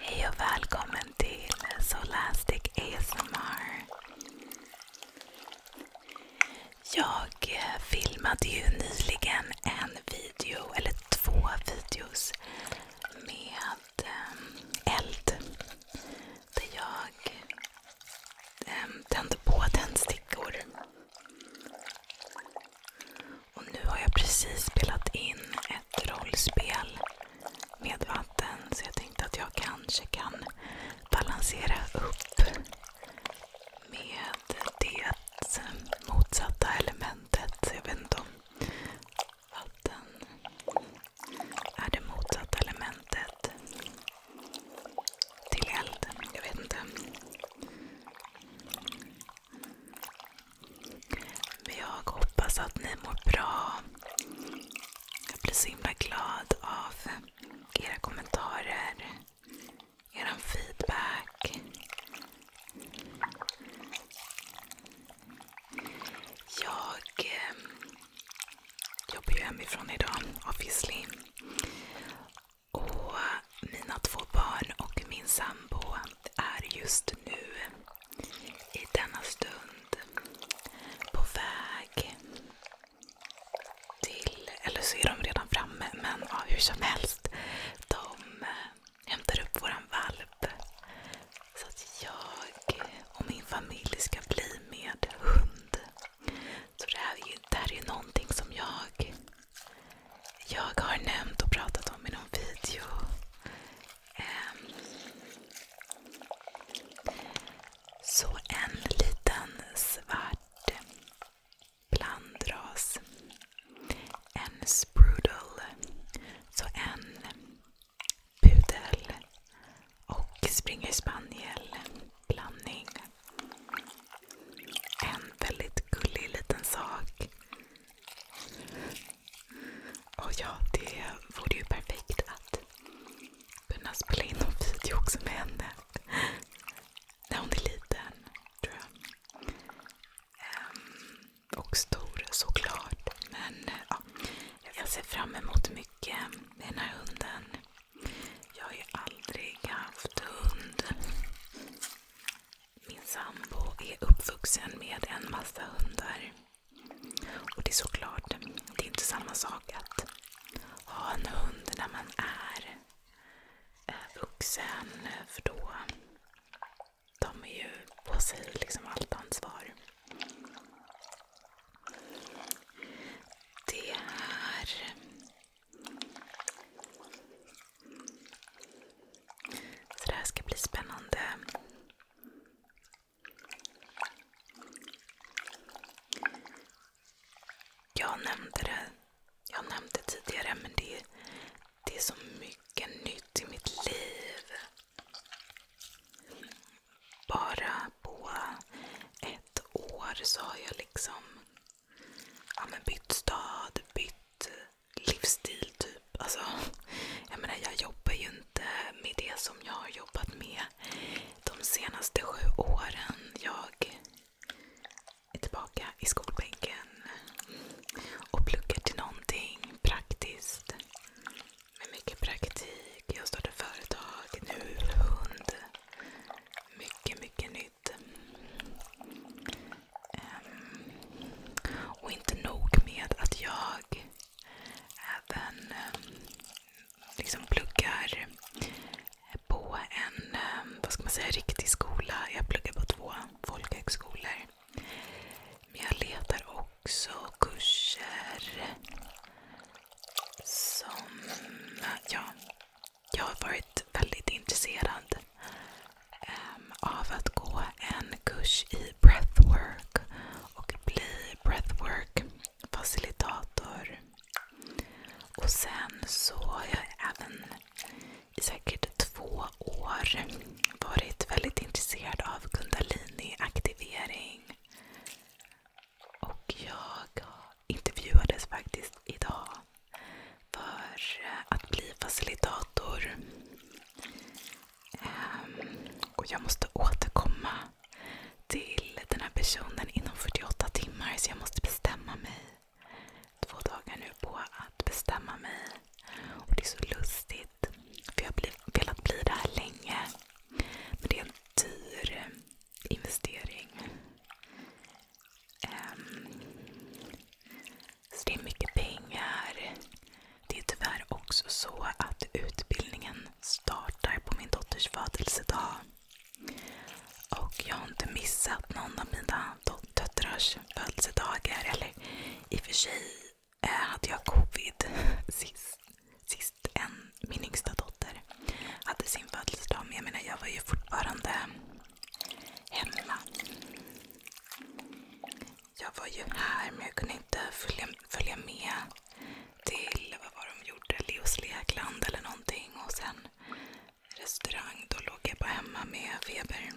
Hej och välkommen till Solastic ASMR. Jag eh, filmade ju nyligen en video, eller två videos, med eh, eld. Där jag eh, tände på tändstickor. Och nu har jag precis spelat in ett rollspel med vatten så jag tänkte att jag kanske kan balansera upp med det motsatta elementet. Jag vet inte om vatten är det motsatta elementet till eld. Jag vet inte. Men jag hoppas att ni mår bra. Jag blir så himla glad av era kommentarer, er feedback. Jag eh, jobbar ju hemifrån idag, obviously. Och mina två barn och min sambo är just nu i denna stund på väg till, eller så är de redan framme, men ja, hur som helst. De eh, hämtar upp våran valp. Så att jag och min familj ska bli med hund. Så det här är ju, det någonting som jag jag har nämnt och pratat om i någon video um, så en liten svart blandras. En sprudel. Så en pudel och springer spaniel blandning. En väldigt gullig liten sak. Och ja, det vore ju perfekt att kunna spela in en video också med henne. När hon är liten, tror jag. Ehm, och stor såklart. Men ja, jag ser fram emot mycket med den här hunden. Jag har ju aldrig haft hund. Min sambo är uppvuxen med en massa hundar. Och det är såklart, det är inte samma sak att ha en hund när man är eh, vuxen. För då tar man ju på sig liksom allt ansvar. Det är så det här ska bli spännande. Jag nämnde det, tidigare, men det är så mycket nytt i mitt liv. Bara på ett år så har jag liksom ja, men bytt stad, bytt eh, livsstil typ. Alltså, jag menar jag jobbar ju inte med det som jag har jobbat med de senaste sju åren. Jag är tillbaka i skolbänken och pluggar till någonting praktiskt. Med mycket praktik. Jag startar företag, nu hund. Mycket, mycket nytt jobbigt. Ehm, och inte nog med att jag även ehm, liksom pluggar på en ehm, vad ska man säga, riktig skola. Jag pluggar på två folkhögskolor. Men jag letar också kurser som ja, jag har varit väldigt intresserad um, av att gå en kurs i breathwork och bli breathwork-facilitator. Och sen så har jag även i säkert två år varit väldigt intresserad av kundalini-aktivering. Och jag har intervjuades faktiskt idag för att bli facilitator. Ehm, och jag måste återkomma till den här personen inom 48 timmar så jag måste bestämma mig. Två dagar nu på att bestämma mig. Och Det är så lustigt för jag har velat bli det här länge. Men det är en dyr investering. Ehm, så det är mycket pengar. Det är tyvärr också så att utbildningen startar på min dotters födelsedag. Och jag har inte missat någon av mina döttrars födelsedagar. Eller i och för sig eh, hade jag covid sist, sist en, min yngsta dotter hade sin födelsedag. Men jag menar, jag var ju fortfarande hemma. Jag var ju här men jag kunde inte följa, följa med till vad var de gjorde, Leos lekland eller någonting. Och sen restaurang. Då låg jag bara hemma med feber.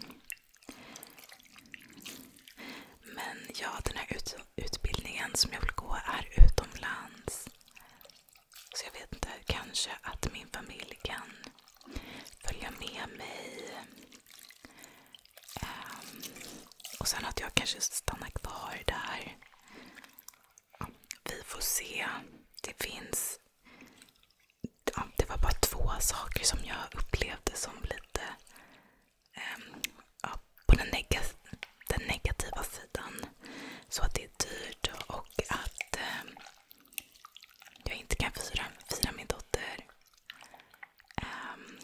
Men ja, den här ut utbildningen som jag vill gå är utomlands. Så jag vet inte, kanske att min familj kan följa med mig. Um, och sen att jag kanske stannar kvar där. vi får se. Det finns... Ja, det var bara två saker som jag upplevde som lite um, ja, på den, neg den negativa sidan. Så att det är dyrt och att um, jag inte kan fira, fira min dotter. Um,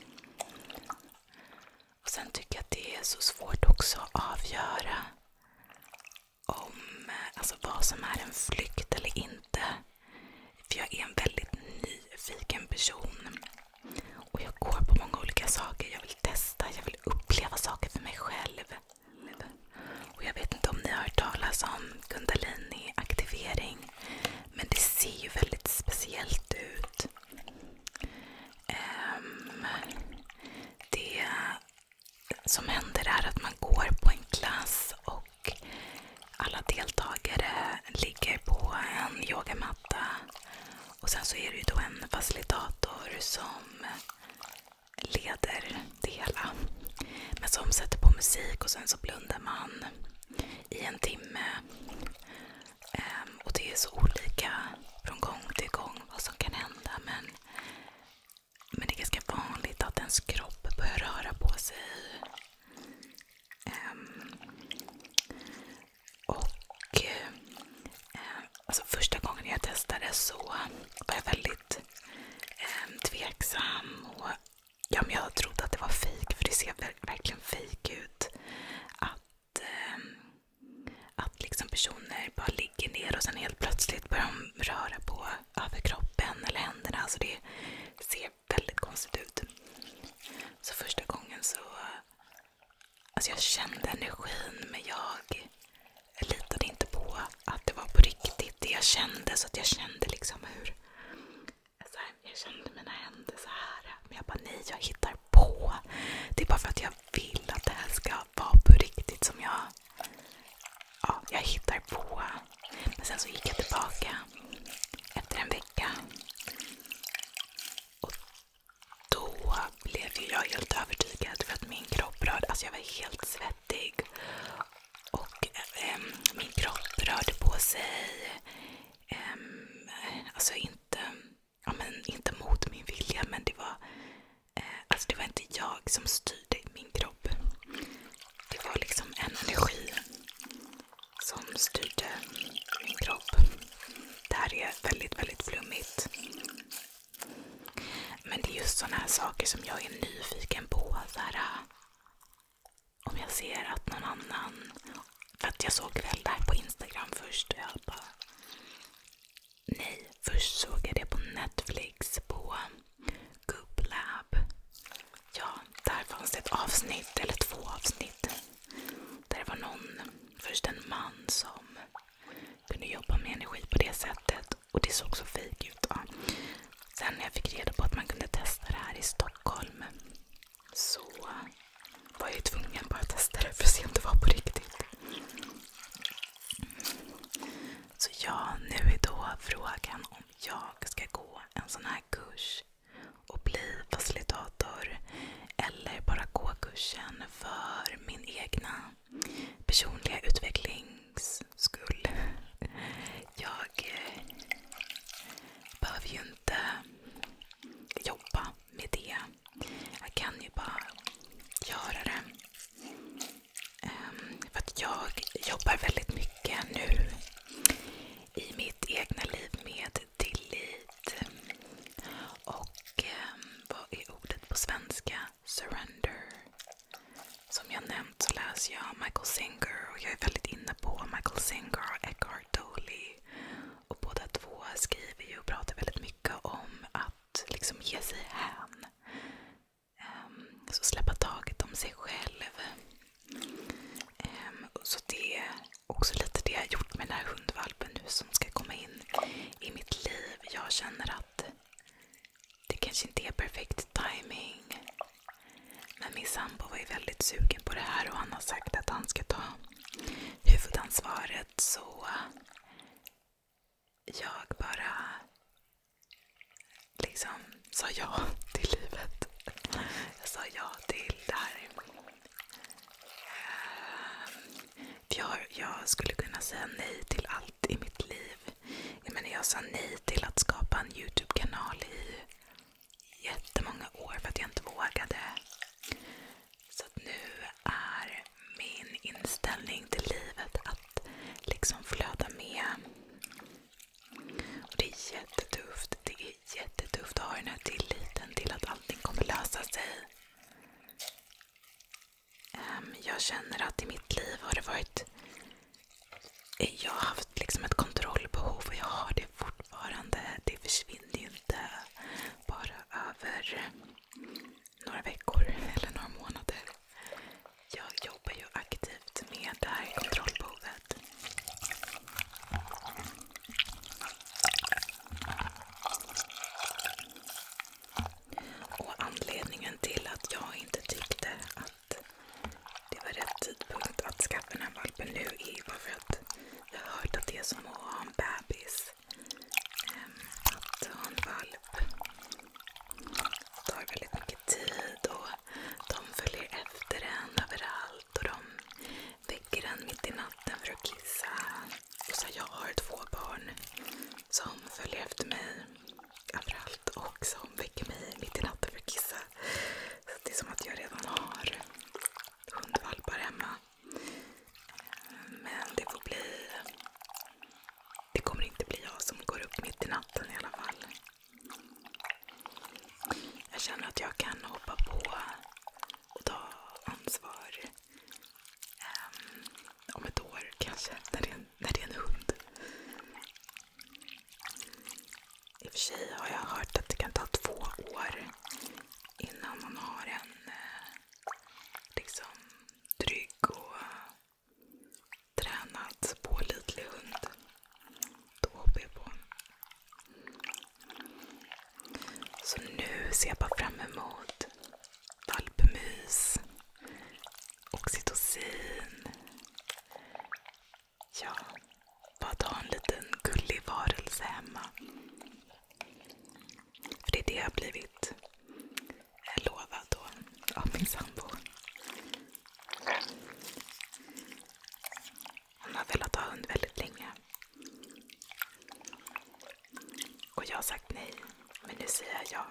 och Sen tycker jag att det är så svårt också att avgöra om, eh, alltså vad som är en flykt eller inte. För jag är en väldigt nyfiken person. Och Jag går på många olika saker. Jag vill testa, jag vill uppleva saker för mig själv lite, lite. Och Jag vet inte om ni har hört talas om kundalini-aktivering. Men det ser ju väldigt speciellt ut. Um, det som händer är att man går på en klass och alla deltagare ligger på en yogamatta. Och sen så är det ju då en facilitator som leder det hela. Men som sätter på musik och sen så blundar man i en timme. Ehm, och det är så olika från gång till gång vad som kan hända. Men, men det är ganska vanligt att ens kropp börjar röra på sig. Ehm, och ehm, Alltså första gången jag testade så var jag väldigt eh, tveksam. Och, ja, men jag trodde att det var fejk, för det ser verkligen fejk ut. Att, eh, att liksom personer bara ligger ner och sen helt plötsligt börjar de röra på överkroppen eller händerna. Alltså det ser väldigt konstigt ut. Så första gången så... Alltså jag kände energin men jag jag litade inte på att det var på riktigt det jag kände. Så att jag kände liksom hur... Alltså, jag kände mina händer så här. Men jag bara, nej jag hittar på. Det är bara för att jag vill att det här ska vara på riktigt som jag... Ja, jag hittar på. Men sen så gick jag tillbaka efter en vecka. Och då blev ju jag helt övertygad för att min kropp rörde, alltså jag var helt svettig. Och äm, ehm, min kropp rörde på sig. Äm, ehm, alltså inte, ja men inte mot min vilja men det var, äh, alltså det var inte jag som styrde min kropp. Det var liksom en energi som styrde min kropp. Det här är väldigt, väldigt flummigt. Men det är just sådana här saker som jag är nyfiken på. Så här, äh, om jag ser att någon annan... För att jag såg väl det här på Instagram först och jag bara... Nej, först såg jag det på Netflix, på Goop Ja, där fanns det ett avsnitt, eller två avsnitt. Där det var någon, först en man som kunde jobba med energi på det sättet och det såg så fejk ut. Ja. Sen när jag fick reda på att man kunde testa det här i Stockholm så var jag tvungen bara att testa det för att se om det var på riktigt. Så ja, nu är då frågan om jag ska gå en sån här kurs och bli facilitator eller bara gå kursen för min egna personliga utvecklings skull. Jag eh, behöver ju inte jobba med det. Jag kan ju bara göra det. Ehm, för att jag jobbar väldigt mycket nu i mitt egna liv med tillit. Och ehm, vad är ordet på svenska? Surrender. Som jag nämnt så läser jag Michael Singer och jag är väldigt inne på Michael Singer och Eckhart Tolle. Och båda två skriver ju och pratar väldigt mycket om att liksom ge sig hän. Um, så släppa taget om sig själv. Um, så det är också lite det jag gjort med den här hundvalpen nu som ska komma in i mitt liv. Jag känner att att det kanske inte är perfekt timing. Men min sambo var ju väldigt sugen på det här och han har sagt att han ska ta huvudansvaret. Så jag bara liksom sa ja till livet. Jag sa ja till det här. Ehm, jag, jag skulle kunna säga nej till allt i mitt liv. Jag menar, jag sa nej till att skapa en Youtube-kanal i jättemånga år för att jag inte vågade. Så att nu är min inställning till livet att liksom flöda med. Och Det är jättetufft. Det är jättetufft att ha den här tilliten till att allting kommer lösa sig. Ehm, jag känner att i mitt liv har det varit... Eh, jag har haft liksom ett kontrollbehov och jag har det fortfarande. Det försvinner ju inte bara över några veckor eller några månader. Jag jobbar ju aktivt med det här kontrollbehovet. Och anledningen till att jag inte tyckte att det var rätt tidpunkt att skaffa den här valpen nu är ju bara för att jag har hört att det är som att ha en bebis. Ehm, att ha en valp tar väldigt mycket tid och de följer efter en överallt och de väcker en mitt i natten för att kissa. Så jag har två barn som följer efter mig överallt och som väcker mig mitt i natten för att kissa. Så det är som att jag redan har hundvalpar hemma. Men det får bli... Det kommer inte bli jag som går upp mitt i natten i alla fall. Jag känner att jag kan hoppa på och ta ansvar Um, om ett år kanske, när det, en, när det är en hund. I och för sig har jag hört att det kan ta två år innan man har en eh, liksom trygg och tränad, pålitlig hund. Då hoppar jag på. Så nu ser jag bara fram emot valpmys, oxytocin. Ja, bara ha en liten gullig varelse hemma. För det är det jag har blivit lovad då av min sambo. Han har velat ha hund väldigt länge. Och jag har sagt nej, men nu säger jag ja.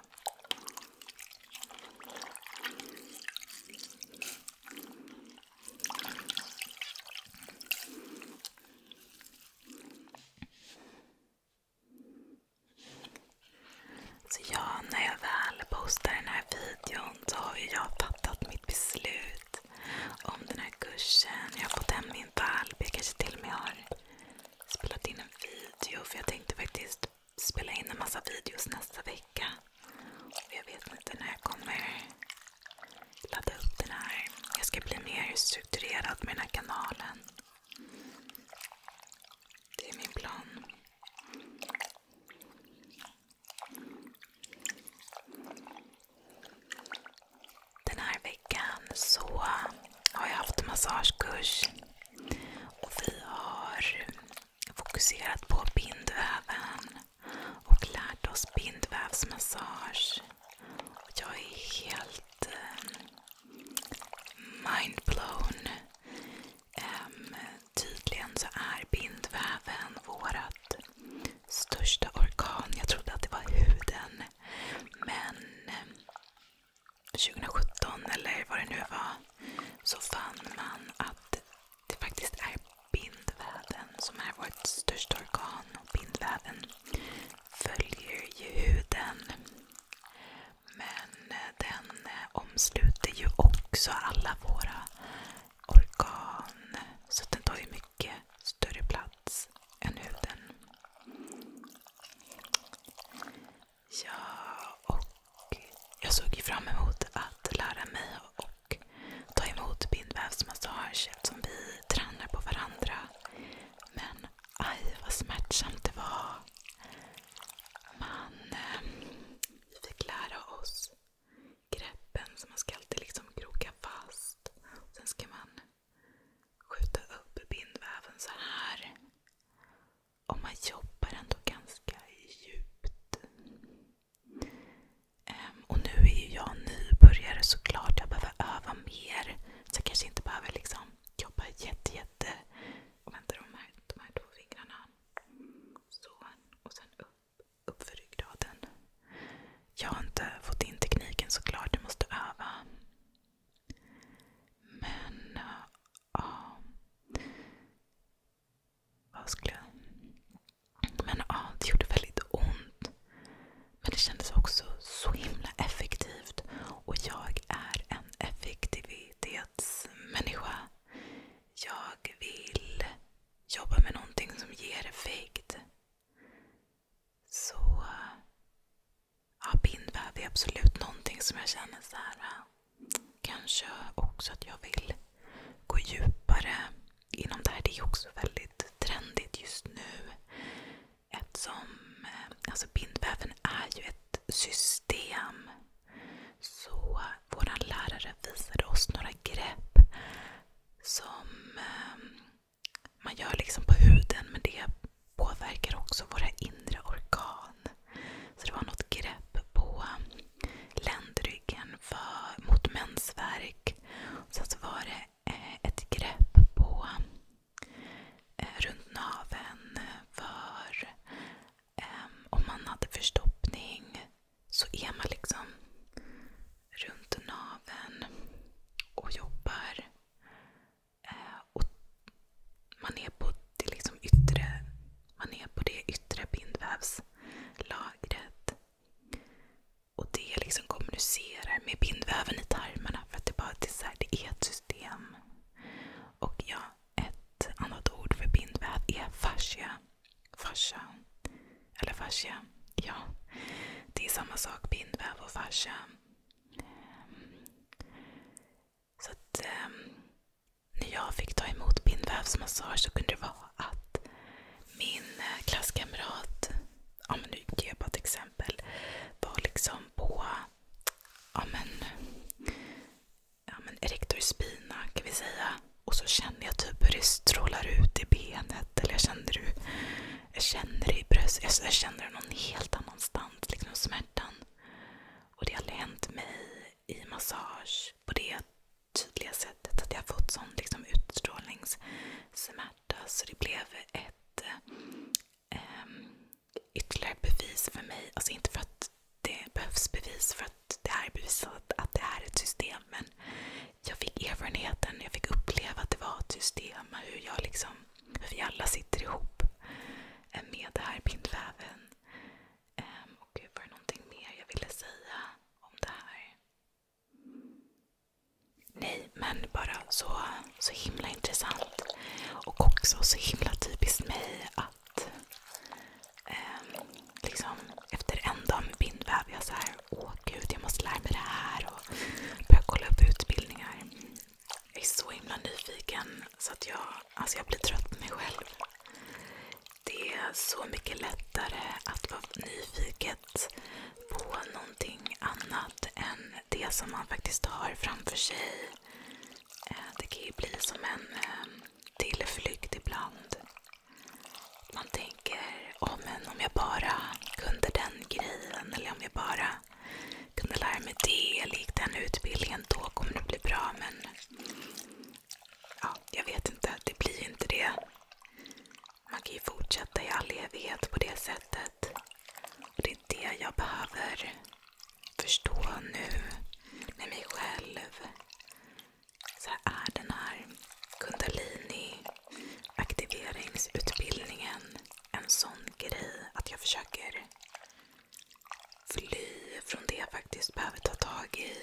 Så ja, när jag väl postar den här videon så har ju jag fattat mitt beslut om den här kursen. Jag har fått hem min valp. Jag kanske till och med har spelat in en video för jag tänkte faktiskt spela in en massa videos nästa vecka. Och jag vet inte när jag kommer ladda upp den här. Jag ska bli mer strukturerad med den här kanalen. Det är min plan. Den här veckan så har jag haft massagekurs och vi har fokuserat på bindväven och lärt oss bindvävsmassage. Och jag är helt eh, mindblown. Um, tydligen så är bindväven vårt största organ. Jag trodde att det var huden. Men 2017 eh, eller vad det nu var så fann man att det faktiskt är bindväven som är vårt största organ. Bindväven följer ju huden. Men eh, den eh, omsluter ju också alla våra organ. Så den tar ju mycket mycket större plats än huden. Ja, och jag såg ju fram emot att lära mig och ta emot bindvävsmassage eftersom vi tränar på varandra. Men aj vad smärtsamt det var. Man ehm, fick lära oss greppen så man ska alltid liksom kroka fast. ska man skjuta upp bindväven så här. Och man jobbar ändå ganska djupt. Ehm, och nu är ju jag nybörjare såklart. Jag behöver öva mer. Så jag kanske inte behöver liksom jobba jätte, jätte... vänta, de här två fingrarna. Så. Och sen upp, upp för ryggraden. Jag har inte fått in tekniken såklart, jag måste öva. Men, ja. Vad skulle jag... Men ja, det gjorde väldigt ont. Men det kändes också så himla effektivt. Och jag är en effektivitetsmänniska. Jag vill jobba med någonting som ger effekt. Så ja, bindväv är absolut någonting som jag känner så här. Kanske också att jag vill gå djupare inom det här. Det är också väldigt trendigt just nu. Eftersom eh, alltså bindväven är ju ett system. Så vår lärare visade oss några grepp som eh, man gör liksom på huden men det påverkar också våra inre organ. Så det var något grepp på ländryggen för, mot mensvärk. Sen så var det eh, ett grepp på eh, runt naveln för eh, om man hade förstoppning så är man liksom runt naven och jobbar. Eh, och man är på det, liksom yttre, man är på det yttre bindvävslagret. Och det liksom kommunicerar med bindväven i tarmarna. För att det, bara, det, är här, det är ett system. Och ja, ett annat ord för bindväv är fascia. fascia. Eller fascia. Ja. Det är samma sak, bindväv och fascia. Så att, ehm, när jag fick ta emot bindvävsmassage så kunde det vara att min eh, klasskamrat, ja nu ger jag bara ett exempel, var liksom på ja men, ja men erector spina kan vi säga. Och så känner jag typ hur det strålar ut i benet sätt. Eller jag kände, du, jag kände det i bröstet. Jag kände det någon helt annanstans. Liksom smärtan. Och det har hänt mig i massage på det tydliga sättet. Att jag har fått sån liksom, utstrålningssmärta. Så det blev ett ähm, ytterligare bevis för mig. Alltså inte för att det behövs bevis för att det här är bevisat att det här är ett system. Men jag fick erfarenheten, jag fick uppleva att det var ett system. Hur, jag liksom, hur vi alla sitter ihop eh, med det här bindväven. Um, ehm, och var det någonting mer jag ville säga om det här? Nej, men bara så, så himla intressant. Och också så himla typiskt mig att um, liksom efter en dag med bindväv, jag så här, åh gud jag måste lära mig det här och börja kolla upp utbildningar. Jag är så himla nyfiken så att jag, alltså jag blir trött på mig själv. Det är så mycket lättare att vara nyfiken på någonting annat än det som man faktiskt har framför sig. Eh, det kan ju bli som en eh, tillflykt ibland. Man tänker, oh, men om jag bara kunde den grejen eller om jag bara kunde lära mig det eller gick den utbildningen, då kommer det bli bra. Men ja, jag vet inte, det blir inte det. Man kan ju fortsätta i all evighet på det sättet. Och Det är det jag behöver förstå nu med mig själv så här är den här kundalini-aktiveringsutbildningen en sån grej att jag försöker fly från det jag faktiskt behöver ta tag i?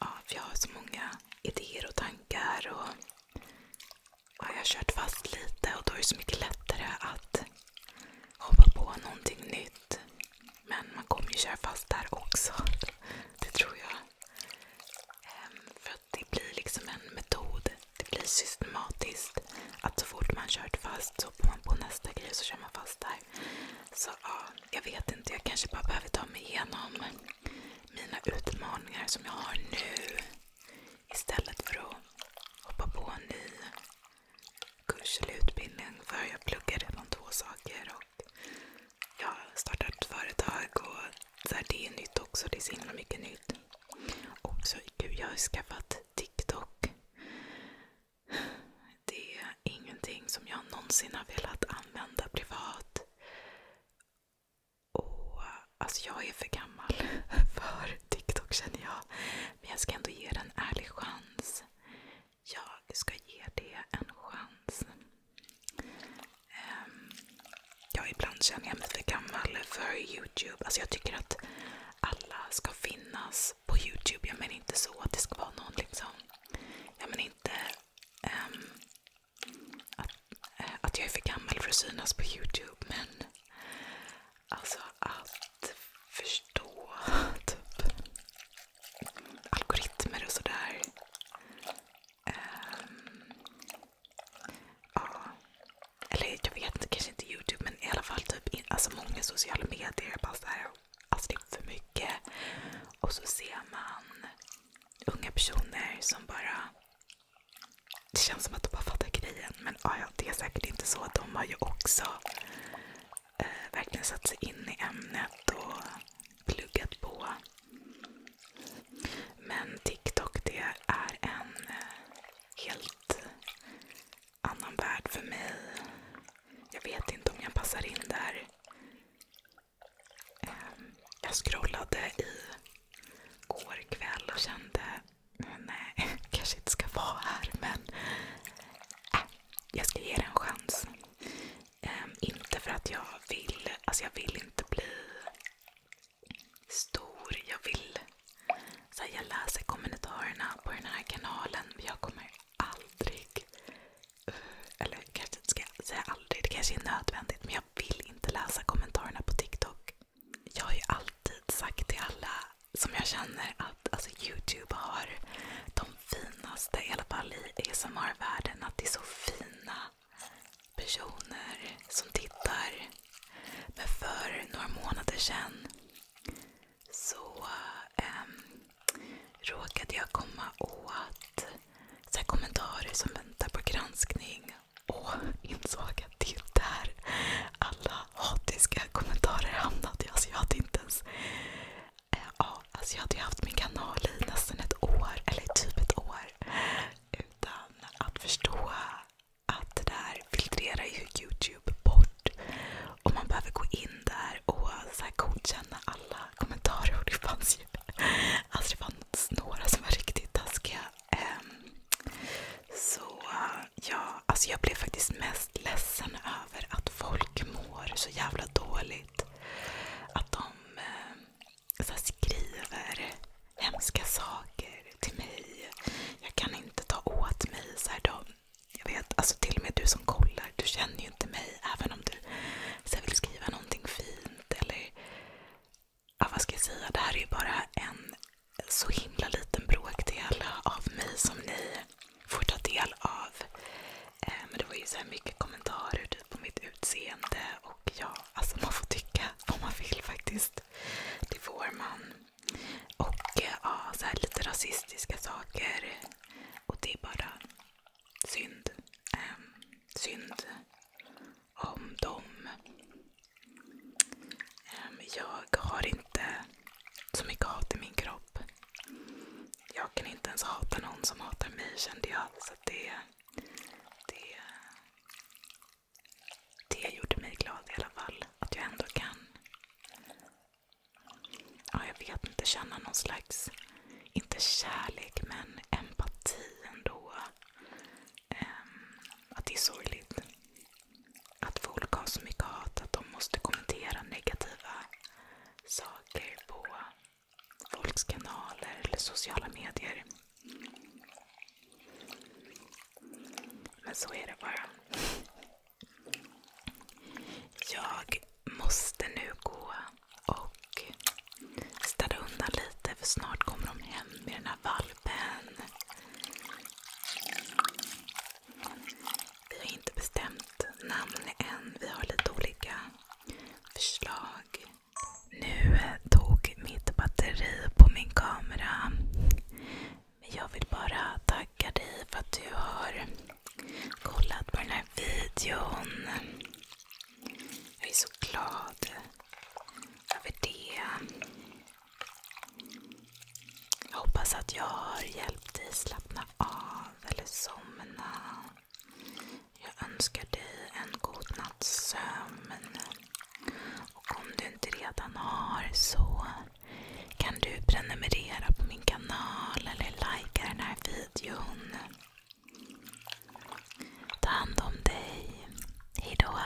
Ja, för jag har så många idéer och tankar och ja, jag har kört fast lite och då är det så mycket lättare att hoppa på någonting nytt. Men man kommer ju köra fast där också. Det tror jag. Ehm, för att det blir liksom en metod. Det blir systematiskt. Att så fort man kört fast så hoppar man på nästa grej så kör man fast där. Så ja, jag vet inte. Jag kanske bara behöver ta mig igenom mina utmaningar som jag har nu. Istället för att hoppa på en ny kurs eller utbildning för jag pluggar redan två saker. och Jag har startat företag och så det är nytt också. Det är så himla mycket nytt. Och så, gud, jag har skaffat TikTok. Det är ingenting som jag någonsin har velat använda privat. Och, alltså jag är för gammal för TikTok känner jag. Men jag ska ändå ge den en ärlig chans jag ska ge det en chans. Ehm, ja, ibland känner jag mig för gammal för Youtube. Alltså jag tycker att alla ska finnas på Youtube. Jag menar inte så att det ska vara någon liksom... Jag menar inte um, att, eh, att jag är för gammal för att synas på Youtube. Men alltså att förstå typ algoritmer och sådär. Ehm, Eller jag vet kanske inte Youtube men i alla fall typ alltså många sociala medier. Bara så alltså det är för mycket. Och så ser man unga personer som bara det känns som att de bara fattar grejen. Men ja, det är säkert inte så. De har ju också Eh, verkligen satt sig in i ämnet och pluggat på. Men TikTok det är en eh, helt annan värld för mig. Jag vet inte om jag passar in där. Ehm, jag scrollade i går kväll och kände mm, nej, kanske inte ska vara här men äh, jag ska ge det en chans. Um, inte för att jag vill, alltså jag vill inte bli stor. Jag vill, så här, jag läser kommentarerna på den här kanalen. Men jag kommer aldrig, eh, eller kanske ska jag säga aldrig, det kanske är nödvändigt. Men jag vill inte läsa kommentarerna på TikTok. Jag har ju alltid sagt till alla som jag känner att alltså, Youtube har de finaste, i alla fall i ASMR-världen, att det är så fina personer som tittar. Men för några månader sedan så ähm, råkade jag komma åt så kommentarer som väntar på granskning och insåg att det är där alla hatiska kommentarer hamnat i. Alltså jag hade inte ens... Eh, ja, alltså jag hade ju haft min kanal i nästan ett år, eller typ ett år. Utan att förstå att det där filtrerar ju Youtube bort. Och man behöver gå in där och så här godkänna alla kommentarer. Och det fanns ju alltså det fanns några som var riktigt taskiga. Eh, så ja, alltså jag blev faktiskt mest ledsen över att folk mår så jävla dåligt. Att de eh, så skriver hemska saker till mig. Jag kan inte ta åt mig. Så här, de, jag vet, alltså till och med du som kollar, du känner ju inte mig. Även om du så här, vill skriva någonting fint eller ja, vad ska jag säga? Det här är ju bara en så himla liten bråkdel av mig som ni får ta del av. Eh, men det var ju så mycket kommentarer typ, på mitt utseende. Och ja, alltså man får tycka vad man vill faktiskt. Det får man. Och eh, ja, så här lite rasistiska saker. Och det är bara synd. Eh, synd om dem. Ehm, jag har inte så mycket hat i min kropp. Jag kan inte ens hata någon som hatar mig kände jag. Så det, det, det gjorde mig glad i alla fall. Att jag ändå kan ja, jag vet inte, känna någon slags, inte kärlek, men empati ändå. Um, att det är sorgligt att folk har så mycket hat att de måste kommentera negativa saker på folks kanaler eller sociala medier. Men så är det bara. Jag måste nu gå och städa undan lite för snart kommer de hem med den här valpen. Vi har inte bestämt namn än. Vi har lite olika förslag. Nu tog mitt batteri på min kamera. Men jag vill bara tacka dig för att du har kollat på den här videon. Jag är så glad över det. Jag hoppas att jag har hjälpt dig slappna av eller somna. Jag önskar dig en god natts sömn. Och om du inte redan har så kan du prenumerera på min kanal eller likea den här videon. Ta hand om dig. Hejdå.